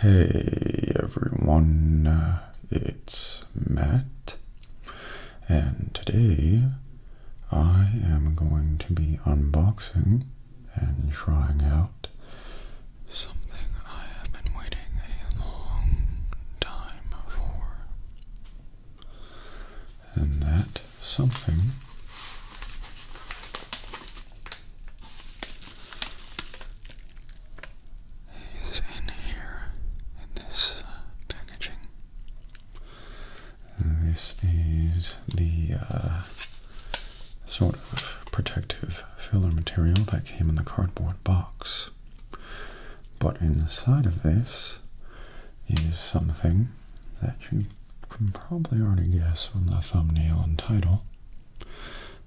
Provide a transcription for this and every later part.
Hey everyone, it's Matt, and today I am going to be unboxing and trying out something I have been waiting a long time for. And that something is in here in this uh, packaging. Uh, this is the uh, sort of protective filler material that came in the cardboard box. But inside of this is something that you you can probably already guess from the thumbnail and title,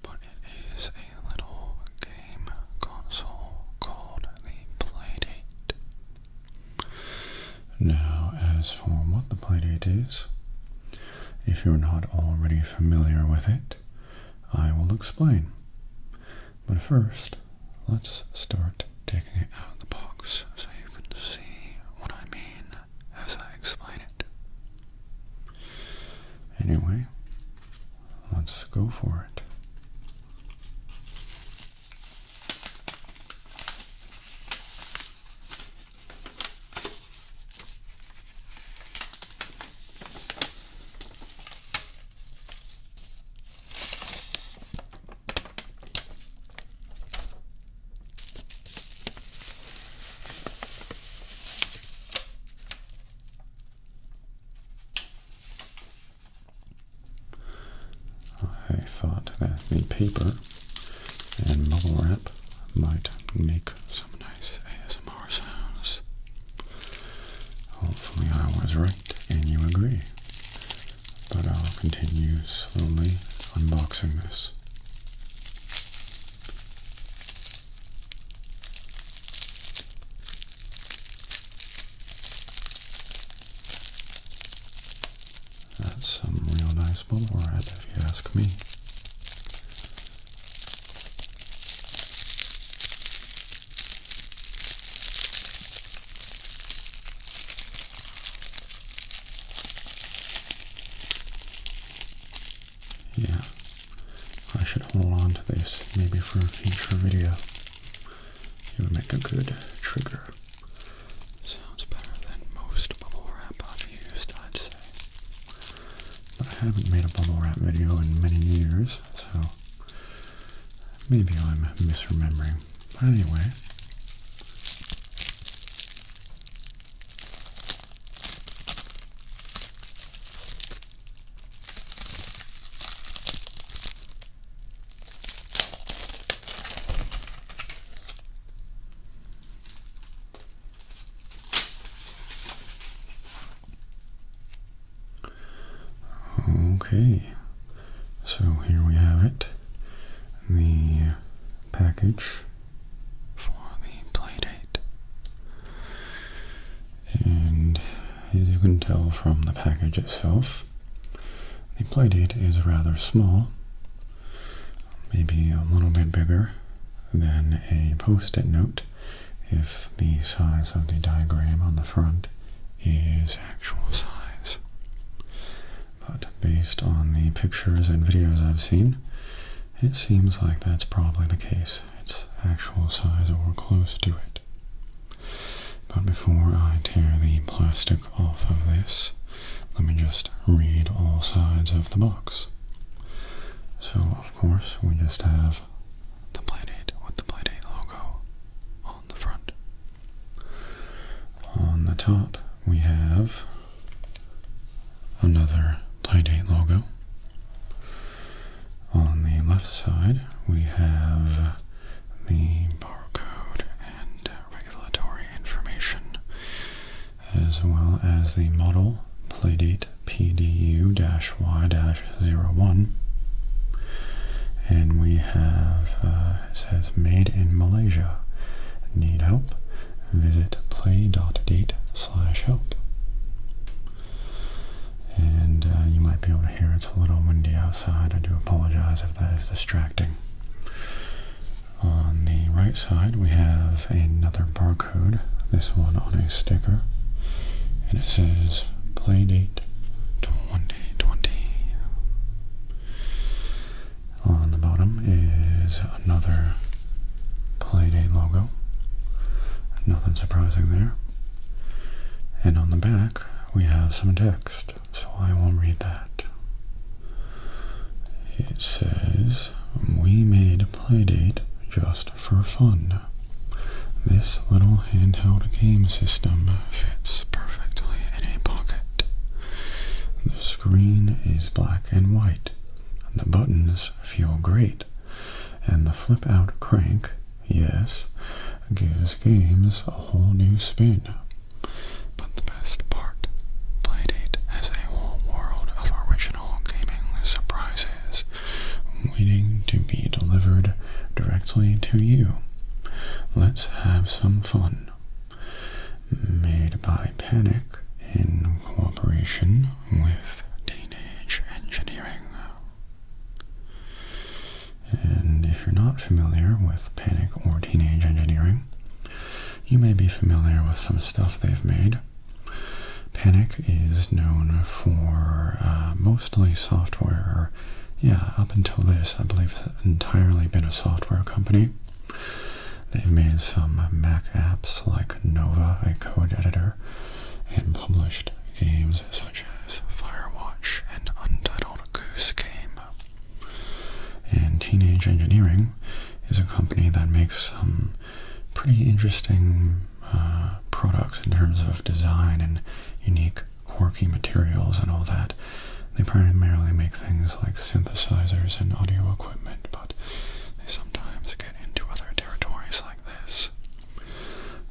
but it is a little game console called the Playdate. Now, as for what the Playdate is, if you're not already familiar with it, I will explain. But first, let's start taking it out of the box so you can see what I mean as I explain it. Anyway, let's go for it. I thought that the paper and bubble wrap might make some nice ASMR sounds. Hopefully I was right and you agree. But I'll continue slowly unboxing this. That's some real nice Boulevard, if you ask me. Yeah, I should hold on to this maybe for a future video. It would make a good trigger. Sounds better than most bubble wrap I've used, I'd say. But I haven't made a bubble wrap video in many years, so maybe I'm misremembering. But anyway, Okay, so here we have it the package for the play And as you can tell from the package itself, the playdate is rather small, maybe a little bit bigger than a post-it note if the size of the diagram on the front is actual size. But based on the pictures and videos I've seen, it seems like that's probably the case, its actual size or close to it. But before I tear the plastic off of this, let me just read all sides of the box. So, of course, we just have the Playdate with the Playdate logo on the front. On the top, we have another Tie-Date logo. On the left side, we have the barcode and regulatory information, as well as the model playdate PDU-Y-01. And we have, uh, it says, made in Malaysia. Need help? Visit Play. Date slash help. And uh, you might be able to hear it's a little windy outside. I do apologize if that is distracting. On the right side we have another barcode, this one on a sticker, and it says Playdate 2020. On the bottom is another Playdate logo. Nothing surprising there. And on the back, we have some text, so I will read that. It says, We made Playdate just for fun. This little handheld game system fits perfectly in a pocket. The screen is black and white, the buttons feel great. And the flip-out crank, yes, gives games a whole new spin. But the best part, Playdate has a whole world of original gaming surprises waiting to be delivered directly to you. Let's have some fun. Made by Panic in cooperation with teenage engineering. And if you're not familiar with panic or teenage engineering, you may be familiar with some stuff they've made. Panic is known for uh, mostly software. or Yeah, up until this, I believe entirely been a software company. They've made some Mac apps like Nova, a code editor, and published games such as Firewatch and Untitled Goose Game. And Teenage Engineering is a company that makes some pretty interesting uh, products in terms of design and unique quirky materials and all that. They primarily make things like synthesizers and audio equipment, but they sometimes get into other territories like this.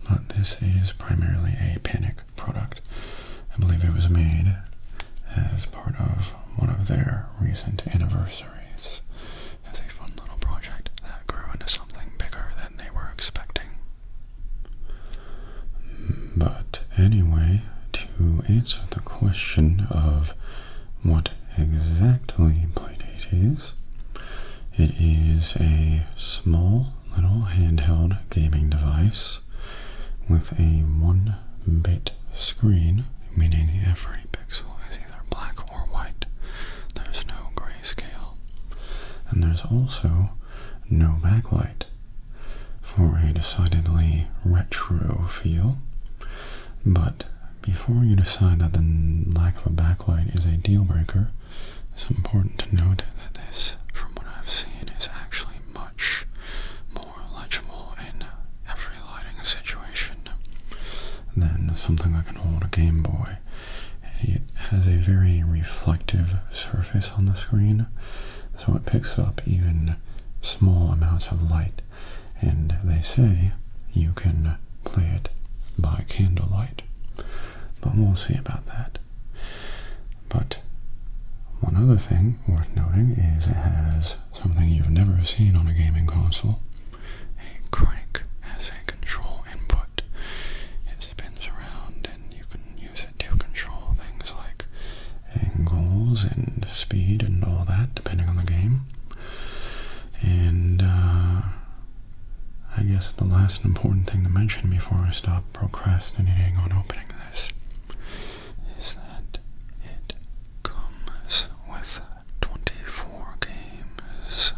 But this is primarily a panic product. I believe it was made as part of one of their recent anniversaries as a fun little project that grew into something bigger than they were expecting. But anyway, to answer the question of what exactly Playdate is. It is a small little handheld gaming device with a one bit screen, meaning every pixel is either black or white. There's no grayscale. And there's also no backlight for a decidedly retro feel, but before you decide that the lack of a backlight is a deal breaker, it's important to note that this, from what I've seen, is actually much more legible in every lighting situation than something that can hold a Game Boy. It has a very reflective surface on the screen, so it picks up even small amounts of light and they say you can play it by candlelight. But we'll see about that. But one other thing worth noting is it has something you've never seen on a gaming console. A crank as a control input. It spins around and you can use it to control things like angles and speed and all that depending on the game. And uh, I guess the last important thing to mention before I stop procrastinating on opening this is that it comes with 24 games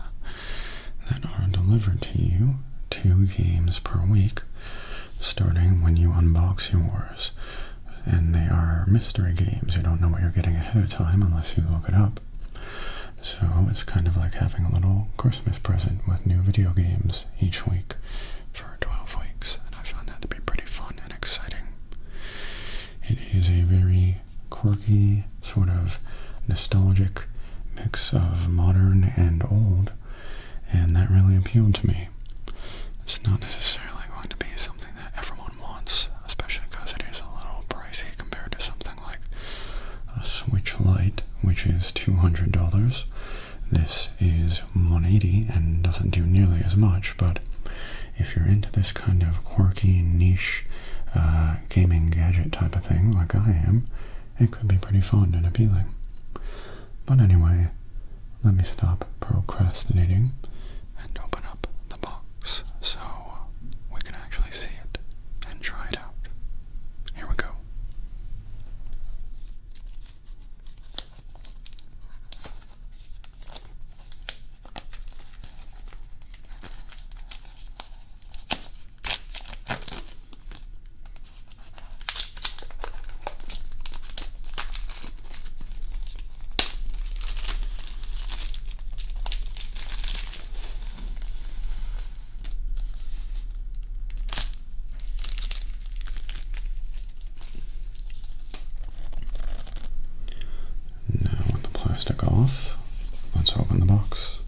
that are delivered to you, two games per week, starting when you unbox yours. And they are mystery games. You don't know what you're getting ahead of time unless you look it up. So it's kind of like having a little Christmas present with new video games each week for 12 weeks, and I found that to be pretty fun and exciting. It is a very quirky, sort of nostalgic mix of modern and old, and that really appealed to me. It's not necessarily going to be something that everyone one especially because it is a little pricey compared to something like a Switch Lite, which is $200. This is $180 and doesn't do nearly as much, but if you're into this kind of quirky, niche uh, gaming gadget type of thing like I am, it could be pretty fun and appealing. But anyway, let me stop procrastinating and open up the box so we can actually see it and try it out. Here we go. Now, with the plastic off, let's open the box.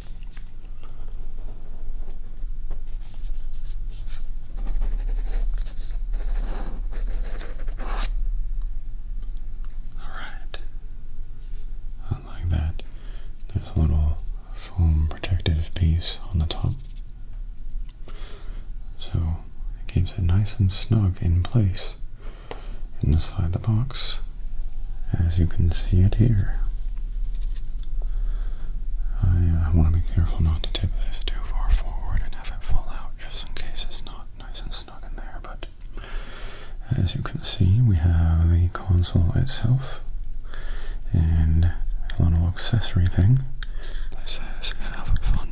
All right like that. There's a little foam protective piece on the top. So it keeps it nice and snug in place inside the box as you can see it here. I uh, want to be careful not to tip this too far forward and have it fall out just in case it's not nice and snug in there, but as you can see, we have the console itself and a little accessory thing that says have fun.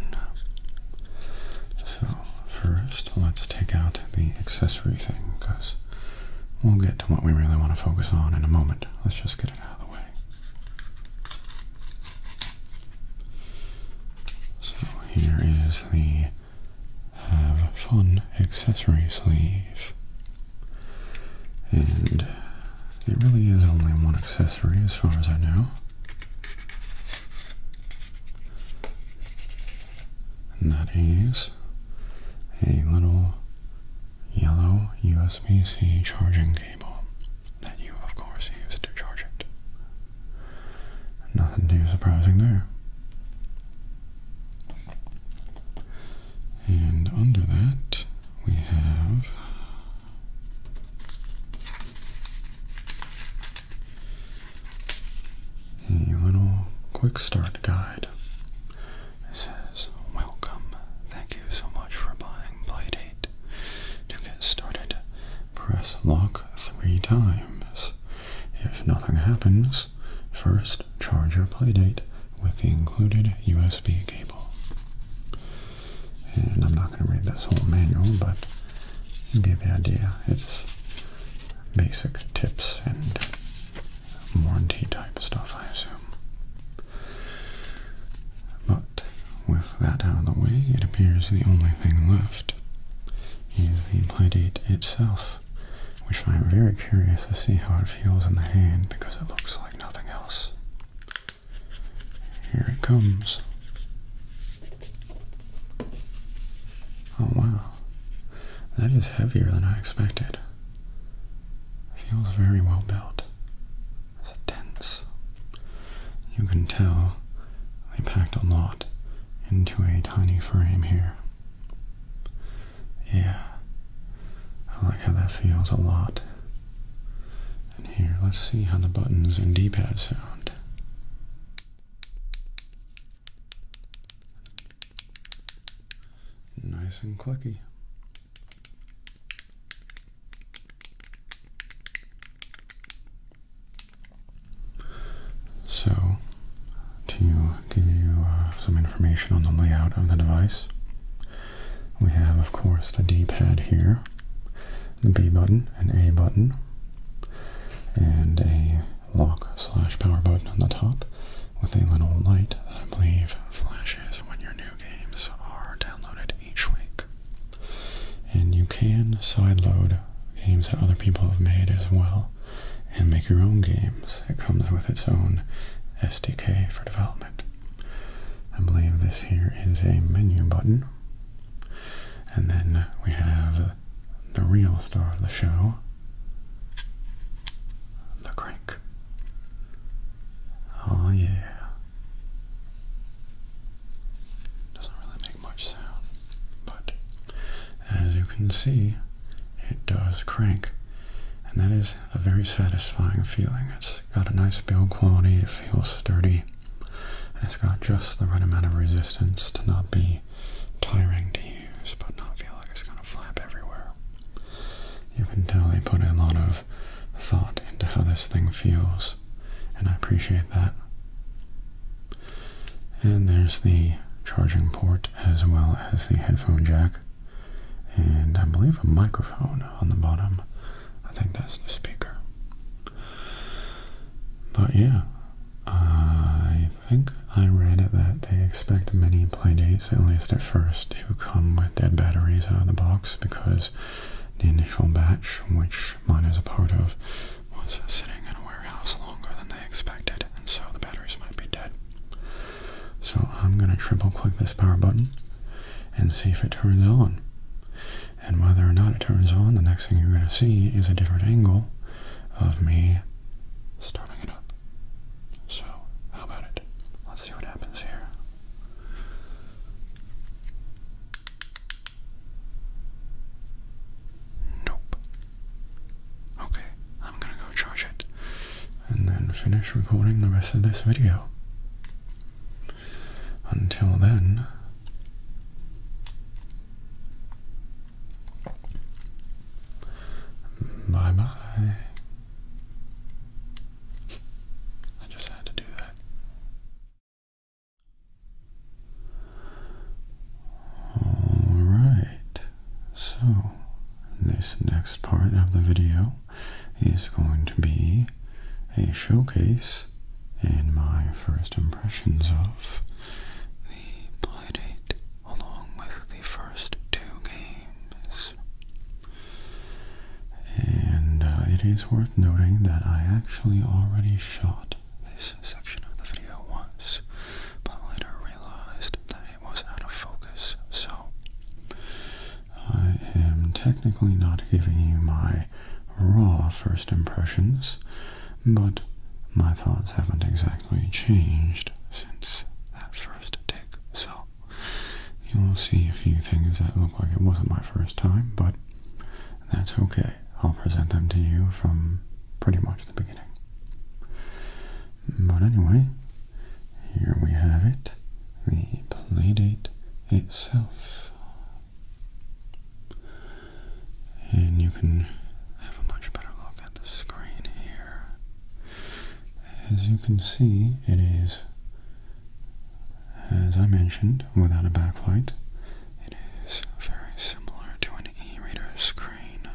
So first, let's take out the accessory thing because we'll get to what we really want to focus on in a moment. Let's just get it out of the way. So here is the have fun accessory sleeve. And it really is only one accessory as far as I know. And that is a little yellow USB-C charging cable that you of course use to charge it. Nothing too surprising there. And under that, we have a little quick start guide. It says, Welcome. Thank you so much for buying Playdate. To get started, press lock three times. If nothing happens, First, charge your playdate with the included USB cable. And I'm not going to read this whole manual, but you the idea. It's basic tips and warranty type stuff, I assume. But with that out of the way, it appears the only thing left is the playdate itself which I'm very curious to see how it feels in the hand because it looks like nothing else. Here it comes. Oh wow, that is heavier than I expected. Feels very well built. It's dense. You can tell they packed a lot into a tiny frame here. Yeah. I like how that feels a lot. And here, let's see how the buttons and D-pad sound. Nice and clicky. So, to give you uh, some information on the layout of the device, we have, of course, the D-pad here, the B button, an A button, and a lock slash power button on the top with a little light that I believe flashes when your new games are downloaded each week. And you can sideload games that other people have made as well and make your own games. It comes with its own SDK for development. I believe this here is a menu button. And then we have the real star of the show, the crank. Oh yeah. Doesn't really make much sound, but as you can see, it does crank. And that is a very satisfying feeling. It's got a nice build quality, it feels sturdy, and it's got just the right amount of resistance to not be tiring to use, but not feel like it's going to flap everywhere. You can tell they put a lot of thought into how this thing feels, and I appreciate that. And there's the charging port as well as the headphone jack and I believe a microphone on the bottom. I think that's the speaker. But yeah, I think I read that they expect many playdates, at least at first, to come with dead batteries out of the box because the initial batch, which mine is a part of, was sitting in warehouse longer than they expected, and so the batteries might be dead. So I'm going to triple click this power button and see if it turns on. And whether or not it turns on, the next thing you're going to see is a different angle of me starting it up. So, how about it? Let's see what happens here. Nope. Okay, I'm gonna go charge it and then finish recording the rest of this video. Until then, bye bye. I just had to do that. Alright, so this next part of the video is going to be a showcase and my first impressions of the Playdate along with the first two games. And uh, it is worth noting that I actually already shot this section of the video once, but later realized that it was out of focus. So I am technically not giving you my raw first impressions, but my thoughts haven't exactly changed since that first take. So you'll see a few things that look like it wasn't my first time, but that's okay. I'll present them to you from pretty much the beginning. But anyway, here we have it, the playdate itself. And you can have a much better look at the screen here. As you can see, it is, as I mentioned, without a backlight. It is very similar to an e-reader screen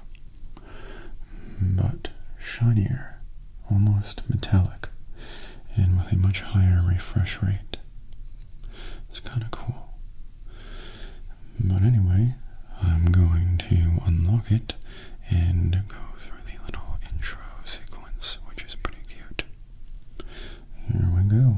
but shinier, almost metallic, and with a much higher refresh rate. It's kind of cool. But anyway, I'm going to unlock it and go through the little intro sequence, which is pretty cute. Here we go.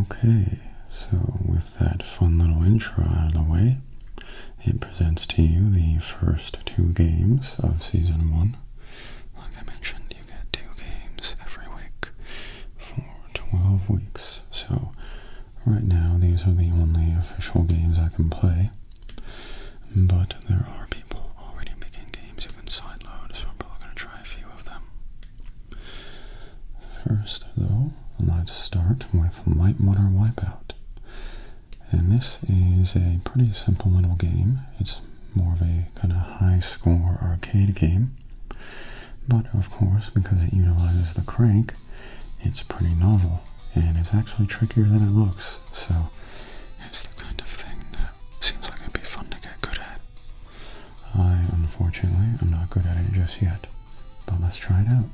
Okay, so with that fun little intro out of the way, it presents to you the first two games of Season 1. Like I mentioned, you get two games every week for 12 weeks. So, right now, these are the only official games I can play. But there are people already making games even side load, so I'm probably going to try a few of them. First, though, let's start with Light Wipeout. And this is a pretty simple little game. It's more of a kind of high-score arcade game. But, of course, because it utilizes the crank, it's pretty novel. And it's actually trickier than it looks. So, it's the kind of thing that. Seems like it'd be fun to get good at. I, unfortunately, am not good at it just yet, but let's try it out.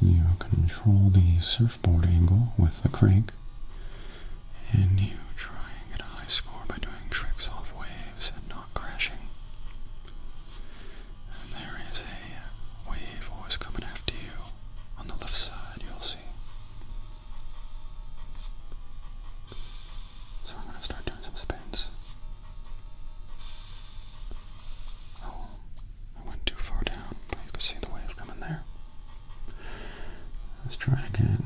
You control the surfboard angle with the crank, and you try and get a high score by doing tricks off waves and not crashing. And there is a wave always coming after you on the left side, you'll see. So I'm going to start doing some spins. Oh, I went too far down, you can see the wave coming there. Let's try it again.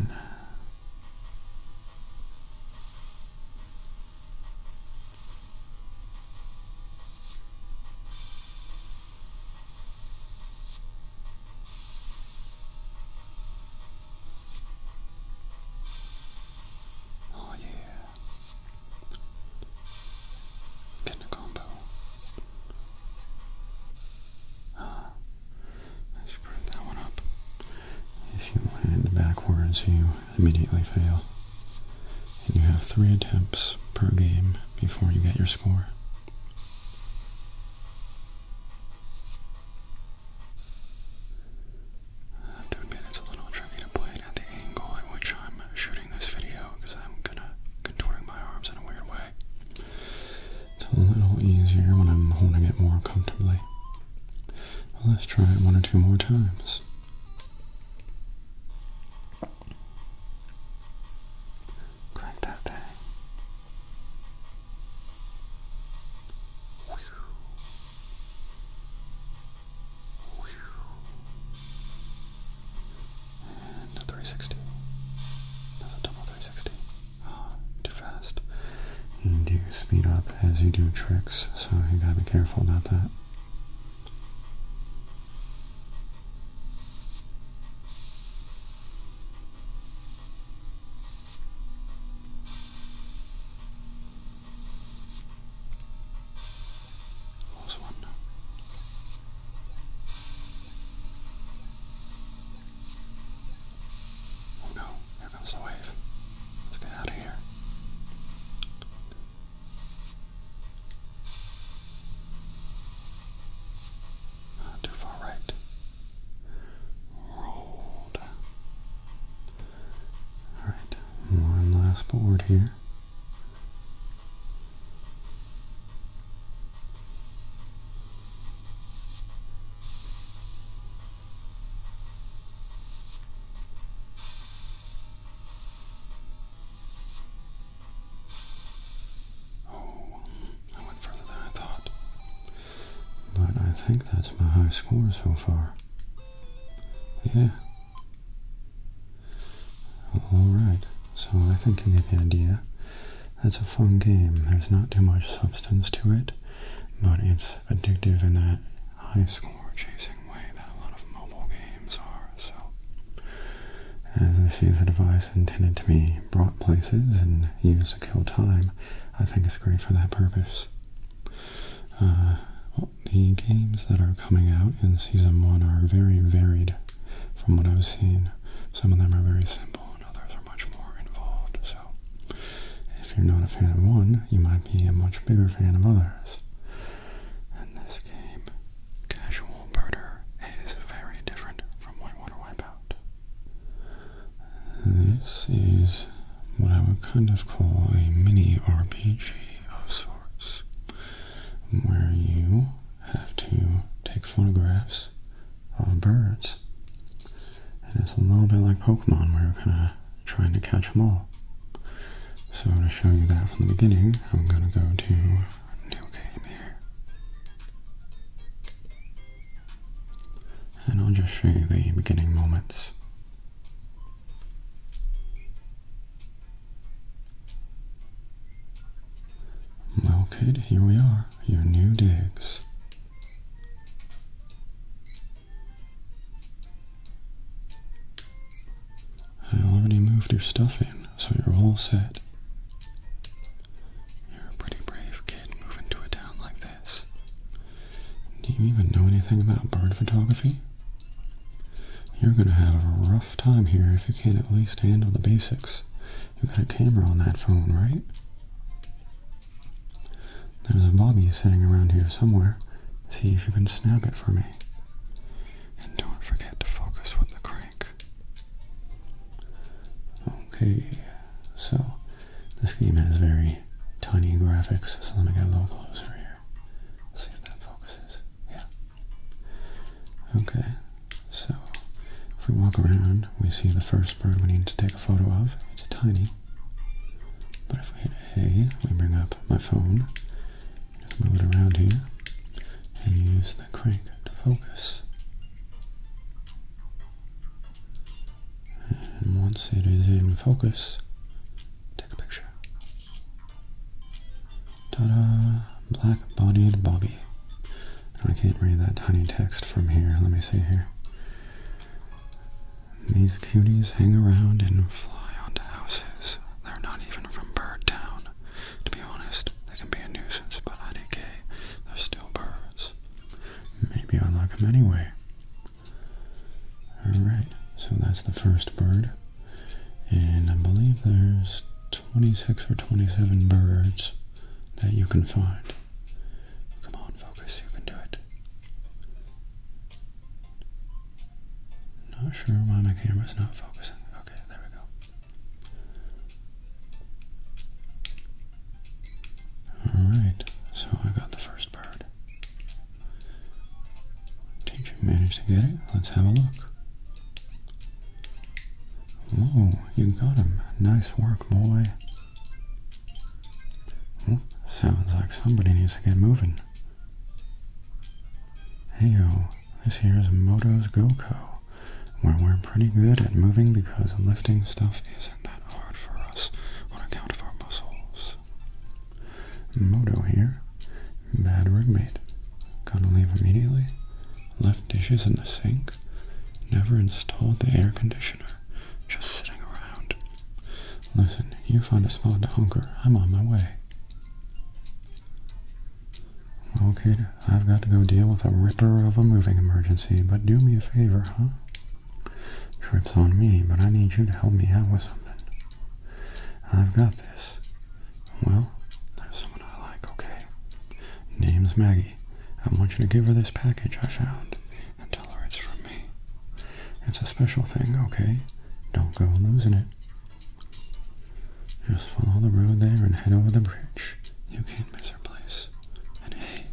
Oh yeah. Getting a combo. Ah, I should bring that one up. If you land backwards, you immediately fail. And you have three attempts per game before you get your score. I have to admit it's a little tricky to play it at the angle in which I'm shooting this video because I'm kind of contorting my arms in a weird way. It's a little easier when I'm holding it more comfortably. let's try it one or two more times. Cuéntate. And a 360. Another double 360. Oh, ah, too fast. And you speed up as you do tricks, so you gotta be careful about that. There's one now. Oh no, here comes the wave. Let's get out of here. Not too far right rolled. Alright, one last board here. Oh, I went further than I thought. But I think that's my high score so far. Yeah. Alright, so I think you get the idea. It's a fun game. There's not too much substance to it, but it's addictive in that high score chasing way that a lot of mobile games are. So, as this is a device intended to be brought places and used to kill time, I think it's great for that purpose. Uh, the games that are coming out in Season 1 are very varied from what I've seen. Some of them are very simple and others are much more involved. So, if you're not a fan of one, you might be a much bigger fan of others. And this game, Casual Murder, is very different from Whitewater Wipeout. This is what I would kind of call a mini RPG of sorts, where you have to take photographs of birds. And it's a little bit like Pokemon, where you're kind of trying to catch them all. So to show you that from the beginning, I'm going to go to New Game here and I'll just show you the beginning moments. Well kid, here we are, your new digs. I already moved your stuff in, so you're all set. You're a pretty brave kid moving to a town like do you even know anything about bird photography? You're going to have a rough time here if you can't at least handle the basics. You got a camera on that phone, right? There's a bobby sitting around here somewhere. See if you can snap it for me. And don't forget to focus with the crank. Okay, so this game has very tiny graphics. So let me get a little closer here. See if that focuses. Yeah. Okay. So if we walk around, we see the first bird we need to take a photo of. It's a tiny. But if we hit A, we bring up my phone. Just move it around here and use the crank to focus and once it is in focus, take a picture. ta Black-bodied Bobby. I can't read that tiny text from here. Let me see here. These cuties hang around and fly onto houses. They're not even from Bird Town. To be honest, they can be a nuisance, but I IDK, they're still birds maybe I like them anyway. Alright, so that's the first bird. And I believe there's 26 or 27 birds that you can find. Come on, focus, you can do it. Not sure why my camera's not focusing. Okay, there we go. Alright, so I got the first bird. Did you manage to get it? Let's have a look. Whoa, you got him. Nice work, boy. sounds like somebody needs to get moving. Hey yo, this here is Moto's GoCo, where we're pretty good at moving because lifting stuff is that hard for us on account of our muscles. Moto here. Bad roommate. Gotta leave immediately. Left dishes in the sink. Never installed the air conditioner. Just sitting around. Listen, you find a spot to hunker. I'm on my way. Okay, I've got to go deal with a ripper of a moving emergency, but do me a favor, huh? Trip's on me, but I need you to help me out with something. I've got this. Well, there's someone I like, okay? Name's Maggie. I want you to give her this package I found and tell her it's from me. It's a special thing, okay? Don't go losing it. Just follow the road there and head over the bridge. You can't miss her place. And hey,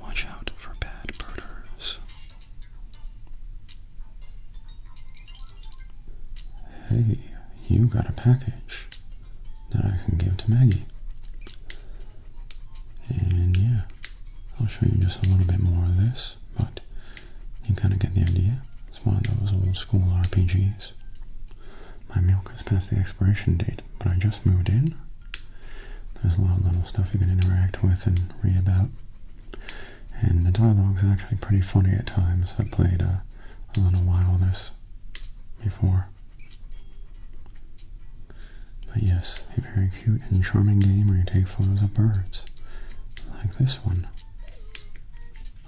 watch out for bad birders. Hey, you got a package that I can give to Maggie. And yeah, I'll show you just a little bit more of this, but you kind of get the idea. It's one of those old school RPGs. My milk has past the expiration date but I just moved in. There's a lot of little stuff you can interact with and read about. And the dialogue is actually pretty funny at times. I played uh, a little while this before. But yes, a very cute and charming game where you take photos of birds, like this one.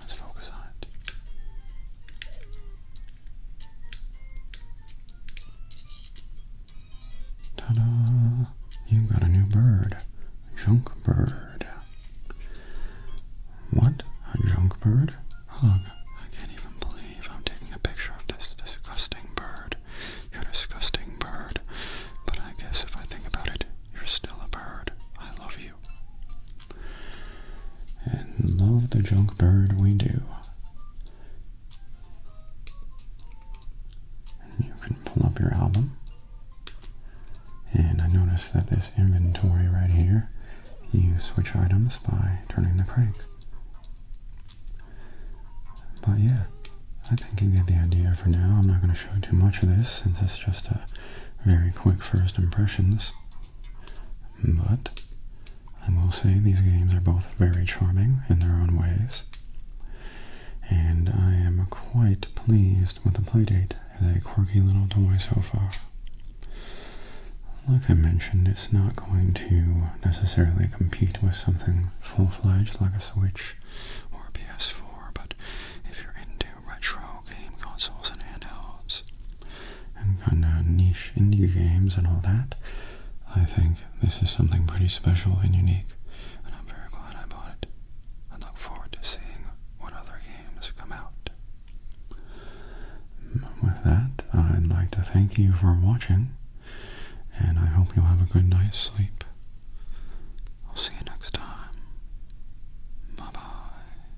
Let's focus on it. Ta-da! You got a new bird. Junk bird. What? A junk bird? Ugh, I can't even believe I'm taking a picture of this disgusting bird. You're a disgusting bird. But I guess if I think about it, you're still a bird. I love you. And love the junk bird we do. And you can pull up your album. And I notice that this inventory right here, you switch items by turning the crank. But yeah, I think you get the idea for now. I'm not going to show too much of this since it's just a very quick first impressions. But I will say these games are both very charming in their own ways, and I am quite pleased with the playdate as a quirky little toy so far. Like I mentioned, it's not going to necessarily compete with something full-fledged like a Switch or a PS4, but if you're into retro game consoles and handhelds and kind of niche indie games and all that, I think this is something pretty special and unique, and I'm very glad I bought it. I look forward to seeing what other games come out. With that, I'd like to thank you for watching, and I hope you'll have a good night's sleep. I'll see you next time. Bye-bye.